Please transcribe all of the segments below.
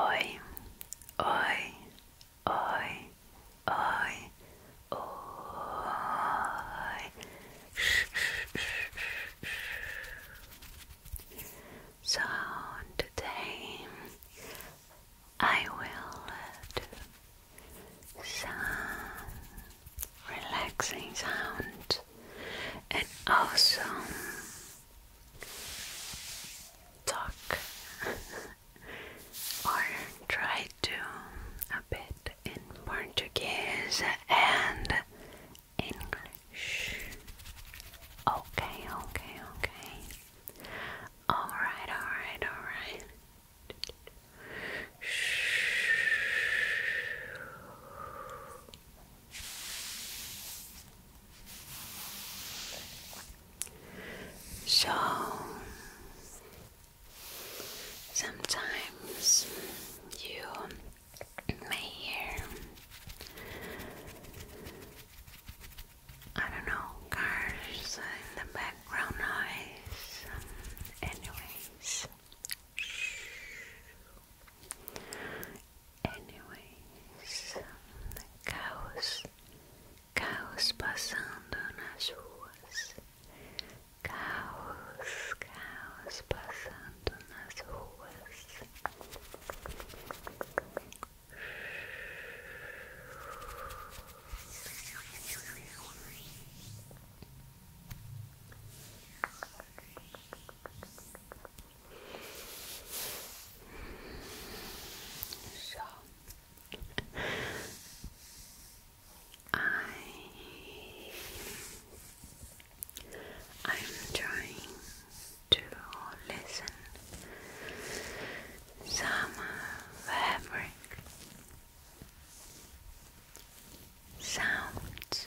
Oi, oi, oi, oi, oi. So today I will do some relaxing sound and also talk or try to a bit in Portuguese and English. Okay, okay, okay. Alright, alright, alright. So sometimes you may hear, I don't know, cars in the background noise. anyways, Anyways, caos, caos passando nas ruas, caos, caos passando nas ruas. Caos, so I I'm trying to listen some fabric sounds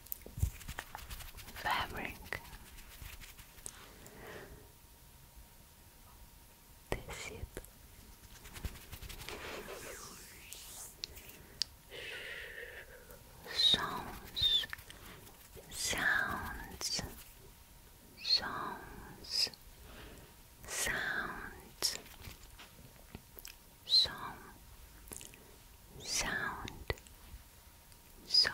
fabric. That's Sounds, sounds, sounds, sounds, song, sound, song.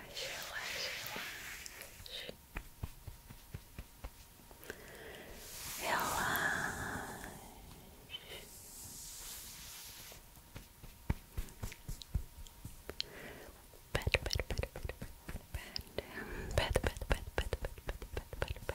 relax, relax. Relax. Pat, pat, pat, pat, pat, pat, pat, pat, pat, pat, pat, pat, pat, pat.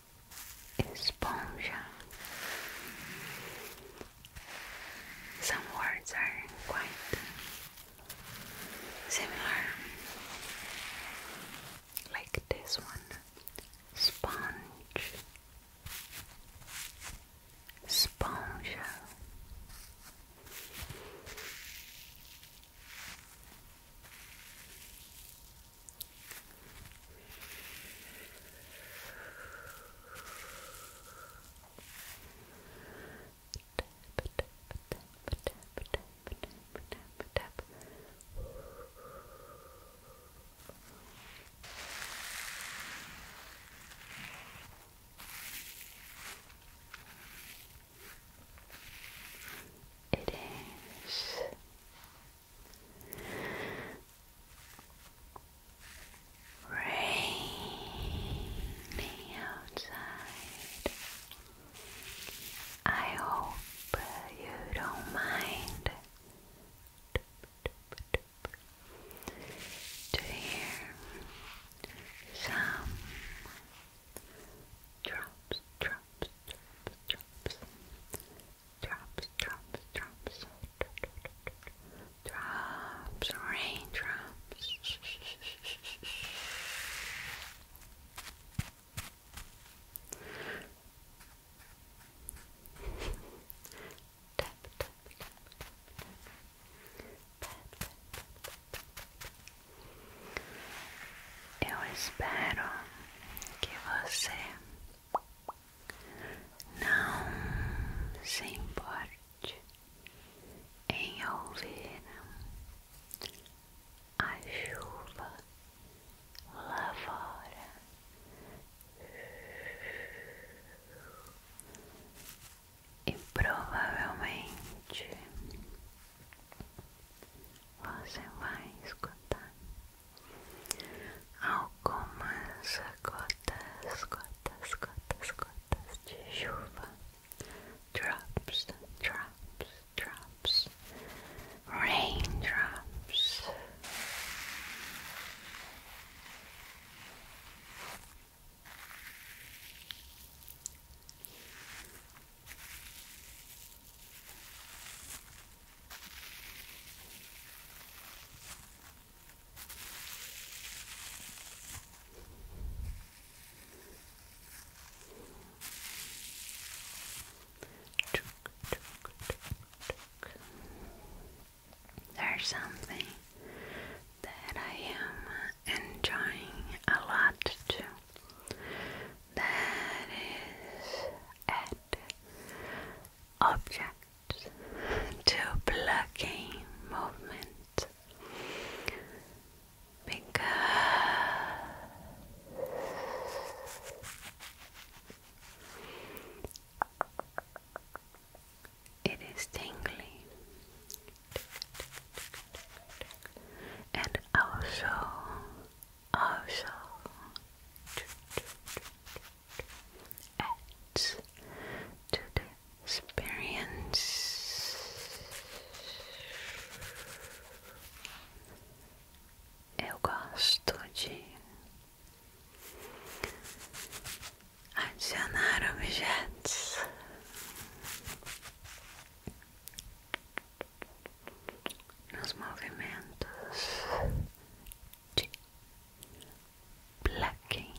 esponja. Some words are quite similar, like this one sponge, sponja. It is Rainy outside. I hope you don't mind to hear some drops, drops, drops, drops drops, drops, drops, drops, raindrops. tap, tap, tap, tap, Não se importe em ouvir a chuva lá fora. E provavelmente você vai escutar Algumas gotas, gotas, gotas, gotas de chuva. Drops, drops, drops. Raindrops. There's something that I am enjoying a lot too. That is at object to blocking movement because it is tingly and also also adds experience. Eu gosto de adicionar objetos nos movimentos de blacking,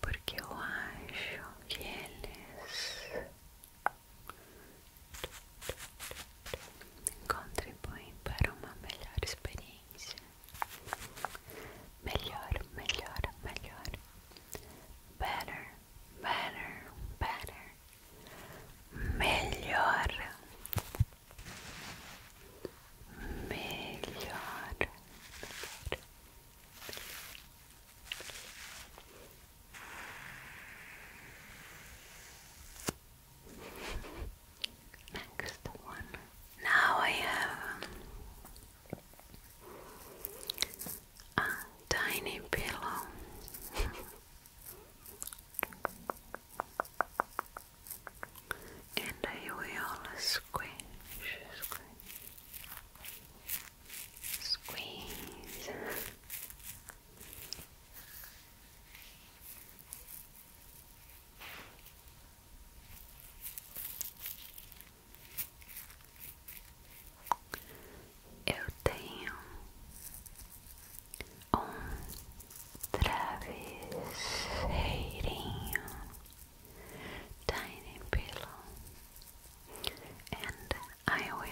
porque eu acho que eles contribuem para uma melhor experiência. Melhor, melhor, melhor. Better, better, better, melhor, melhor. Next one. Now I have a tiny pillow. and I will squish, squish, squeeze. eu tenho um travesseirinho, tiny pillow, and I will.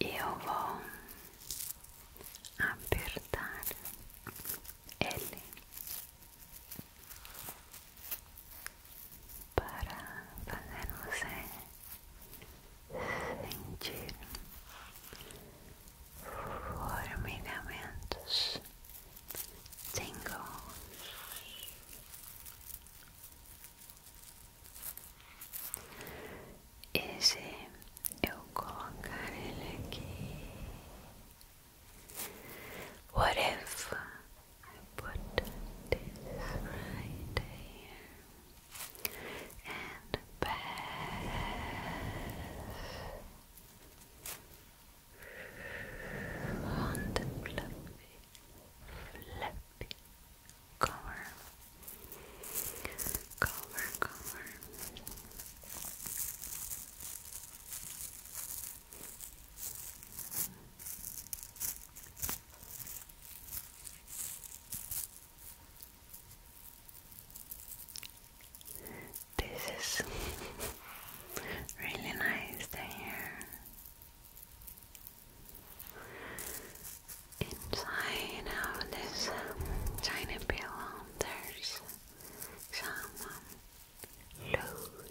eu vou apertar ele para fazer você sentir formigamentos tingles e se eu colocar ele aqui What if I put this right here and pass on the fluffy, fluffy cover, cover, cover. This is really nice to Inside of this tiny pillow, there's some loose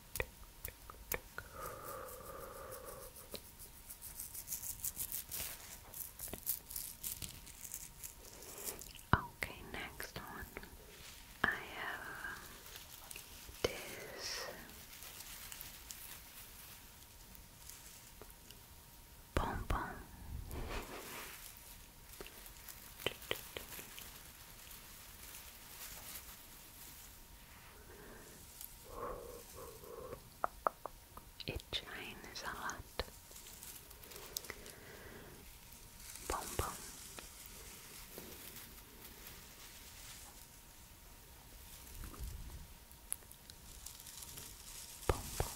Okay, next one. I have this bonbon. It shines a lot. Boom boom. Boom boom.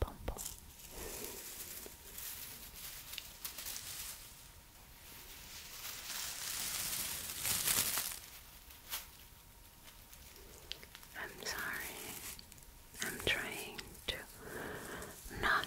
Bonbon. I'm sorry. I'm trying to not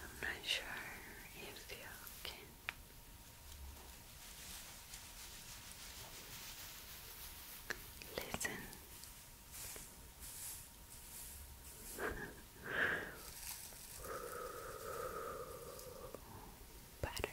I'm not sure if you can. Listen. Better.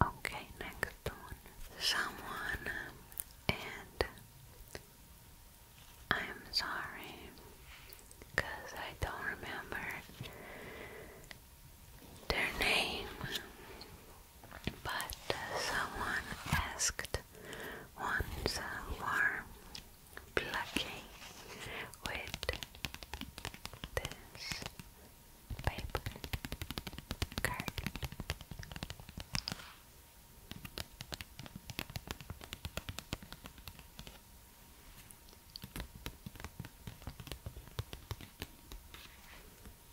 Okay, next one. Someone and I'm sorry because I don't remember their name, but uh, someone asked once uh, for plucking with this paper card. Drop,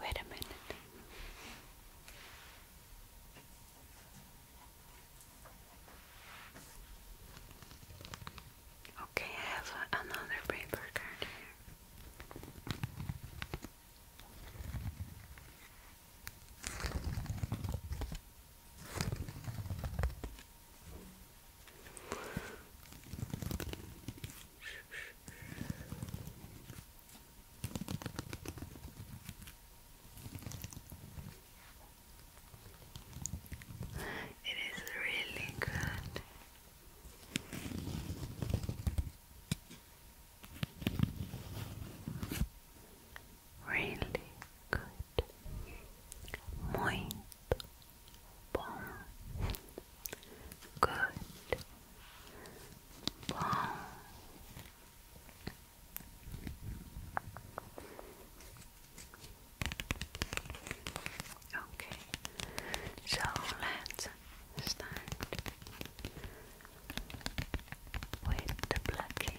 Wait a minute. Okay, I have another paper card here. It is really good. Really good. Muito bom. Good. Bom. Okay. So let's start with the plucking.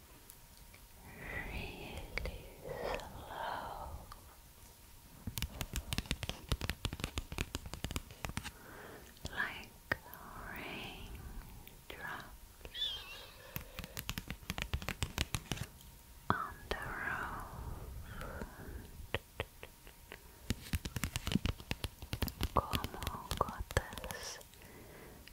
really slow. Like rain on the road, como gotas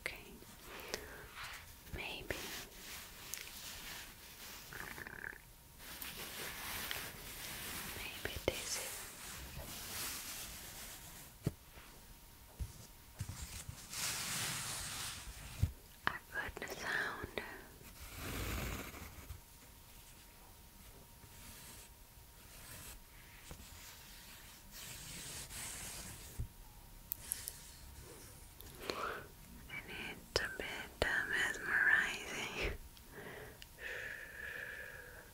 Okay, maybe maybe this is I put the sound and it's a bit mesmerizing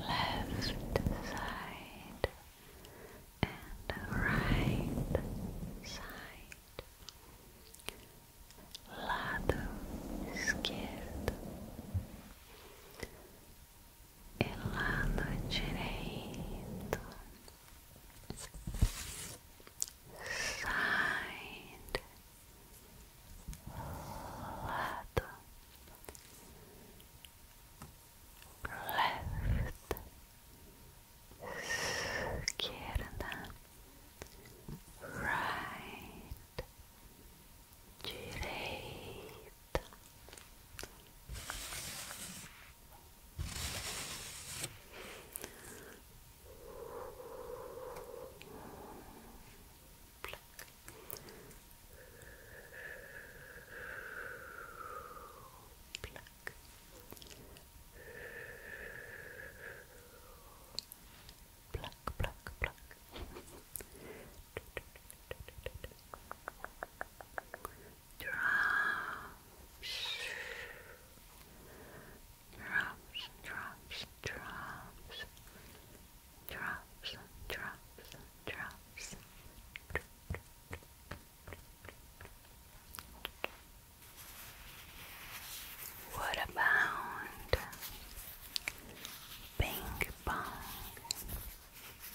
left side and right side lado esquerdo e lado direito side lado left, esquerda, right, direita pluck. Pluck. Pluck, pluck, pluck. Drops. Drops, drops, drops drops, drops, drops. What about ping pong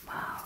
balls?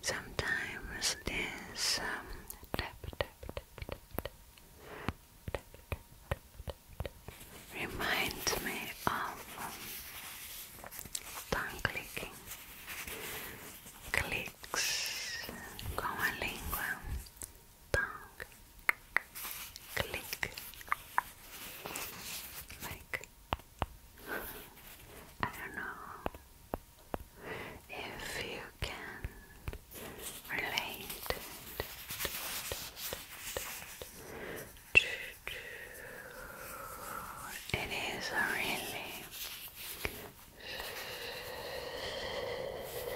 Sometimes this um, tap, tap, tap, reminds me of um, tongue clicking, clicks con la lingua, tongue, click, like I don't know if you can relate it is a really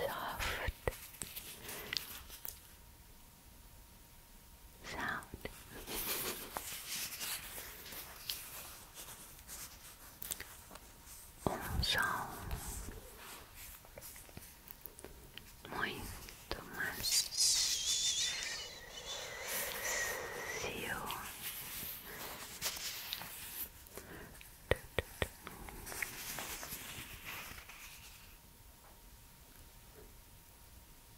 soft sound um som muito mais macio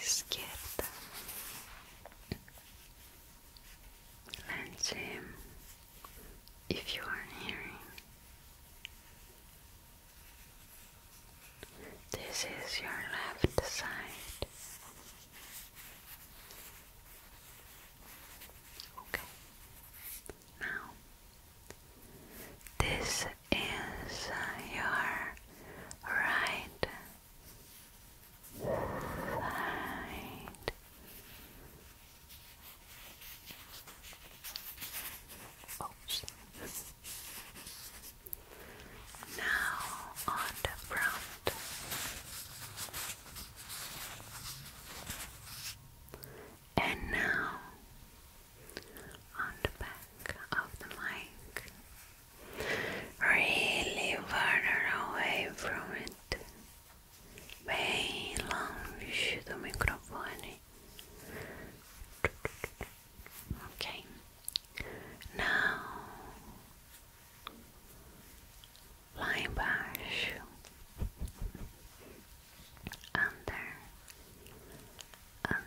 izquierda and if you are hearing this is your left side. Okay. Now, this is uh, your right side. Oops. Now on the front. And now on the back of the mic. Really further away from it. Bem longe do microfone. Okay. Now line brush under under and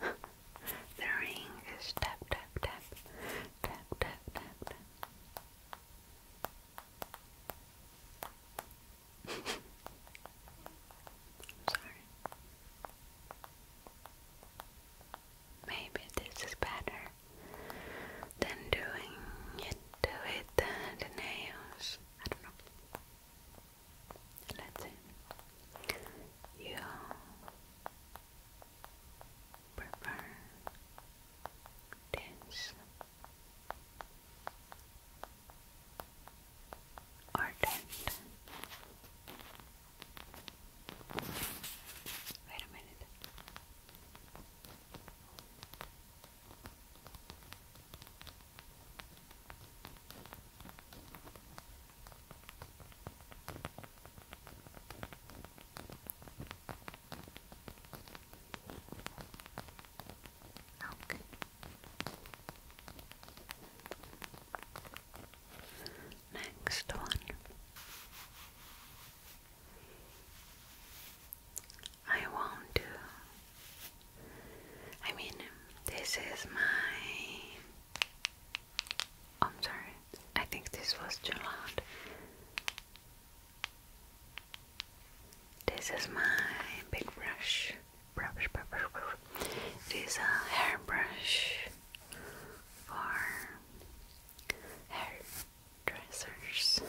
the ring is tap tap tap tap tap tap Sorry. Maybe this is better than doing it with the nails. I don't know. Let's see. You prefer this or that? Wait a minute. Okay. Next one. I want to. I mean, this is my I'm sorry, I think this was too loud. This is my big brush. Brush, brush, brush, This is a hairbrush for hairdressers.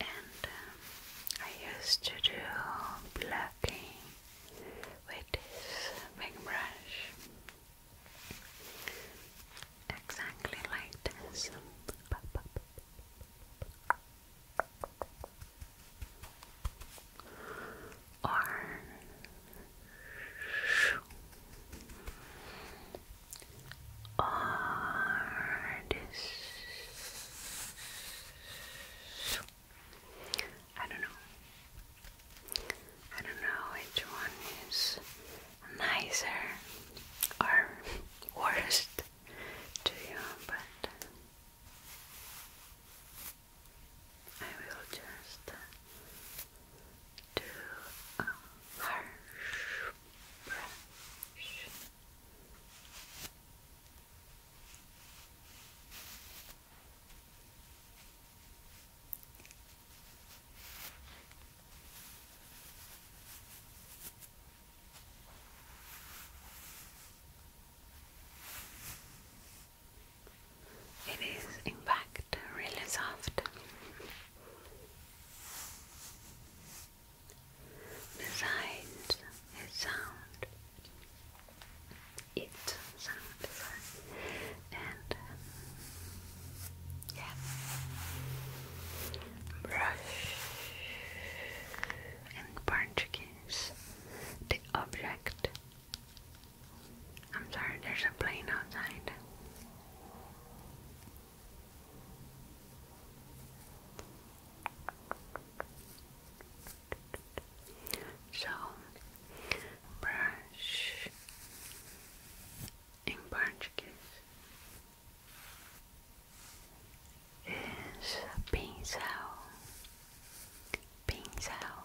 And um, I used to do blocking with this big brush exactly like this or or this I don't know. I don't know which one is nicer or worst to you, but I will just do a harsh brush. It is, in fact, really soft. Besides, a sound. It sound And yeah, brush and punch the object. I'm sorry, there's a plane outside. So brush em português is pincel, pincel.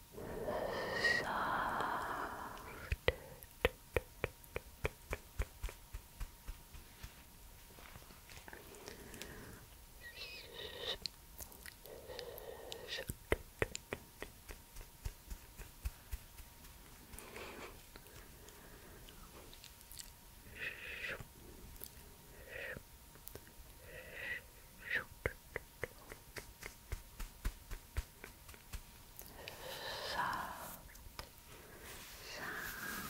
soft. Shoot sound, sound.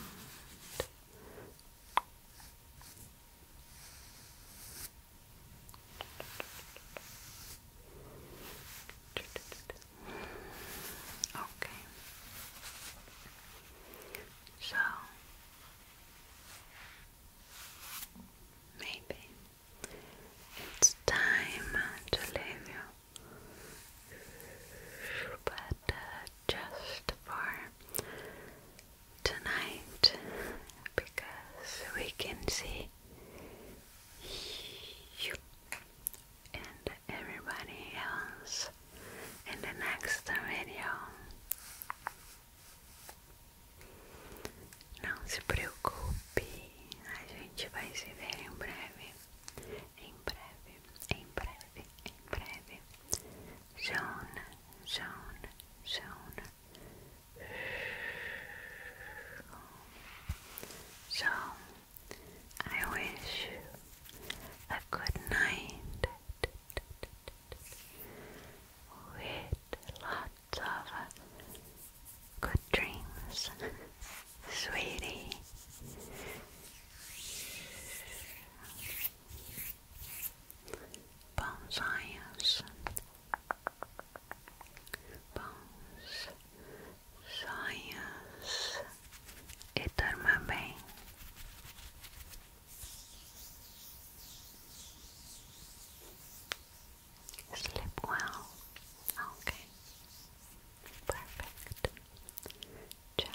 Okay. So maybe it's time to leave you, but uh, just for tonight because we can see you and everybody else in the next video. Não se preocupe, a gente vai se ver em breve. Em breve, em breve, em breve. Jonah, Jonah, Jonah. So, I wish you a good night with lots of uh, good dreams, sweetie. Bones science. Bones bem. Sleep well. Okay. Perfect. Ciao.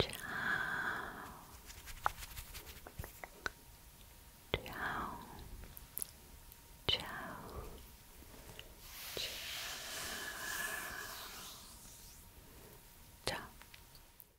Ciao. Ciao. Ciao. Ciao. Ciao.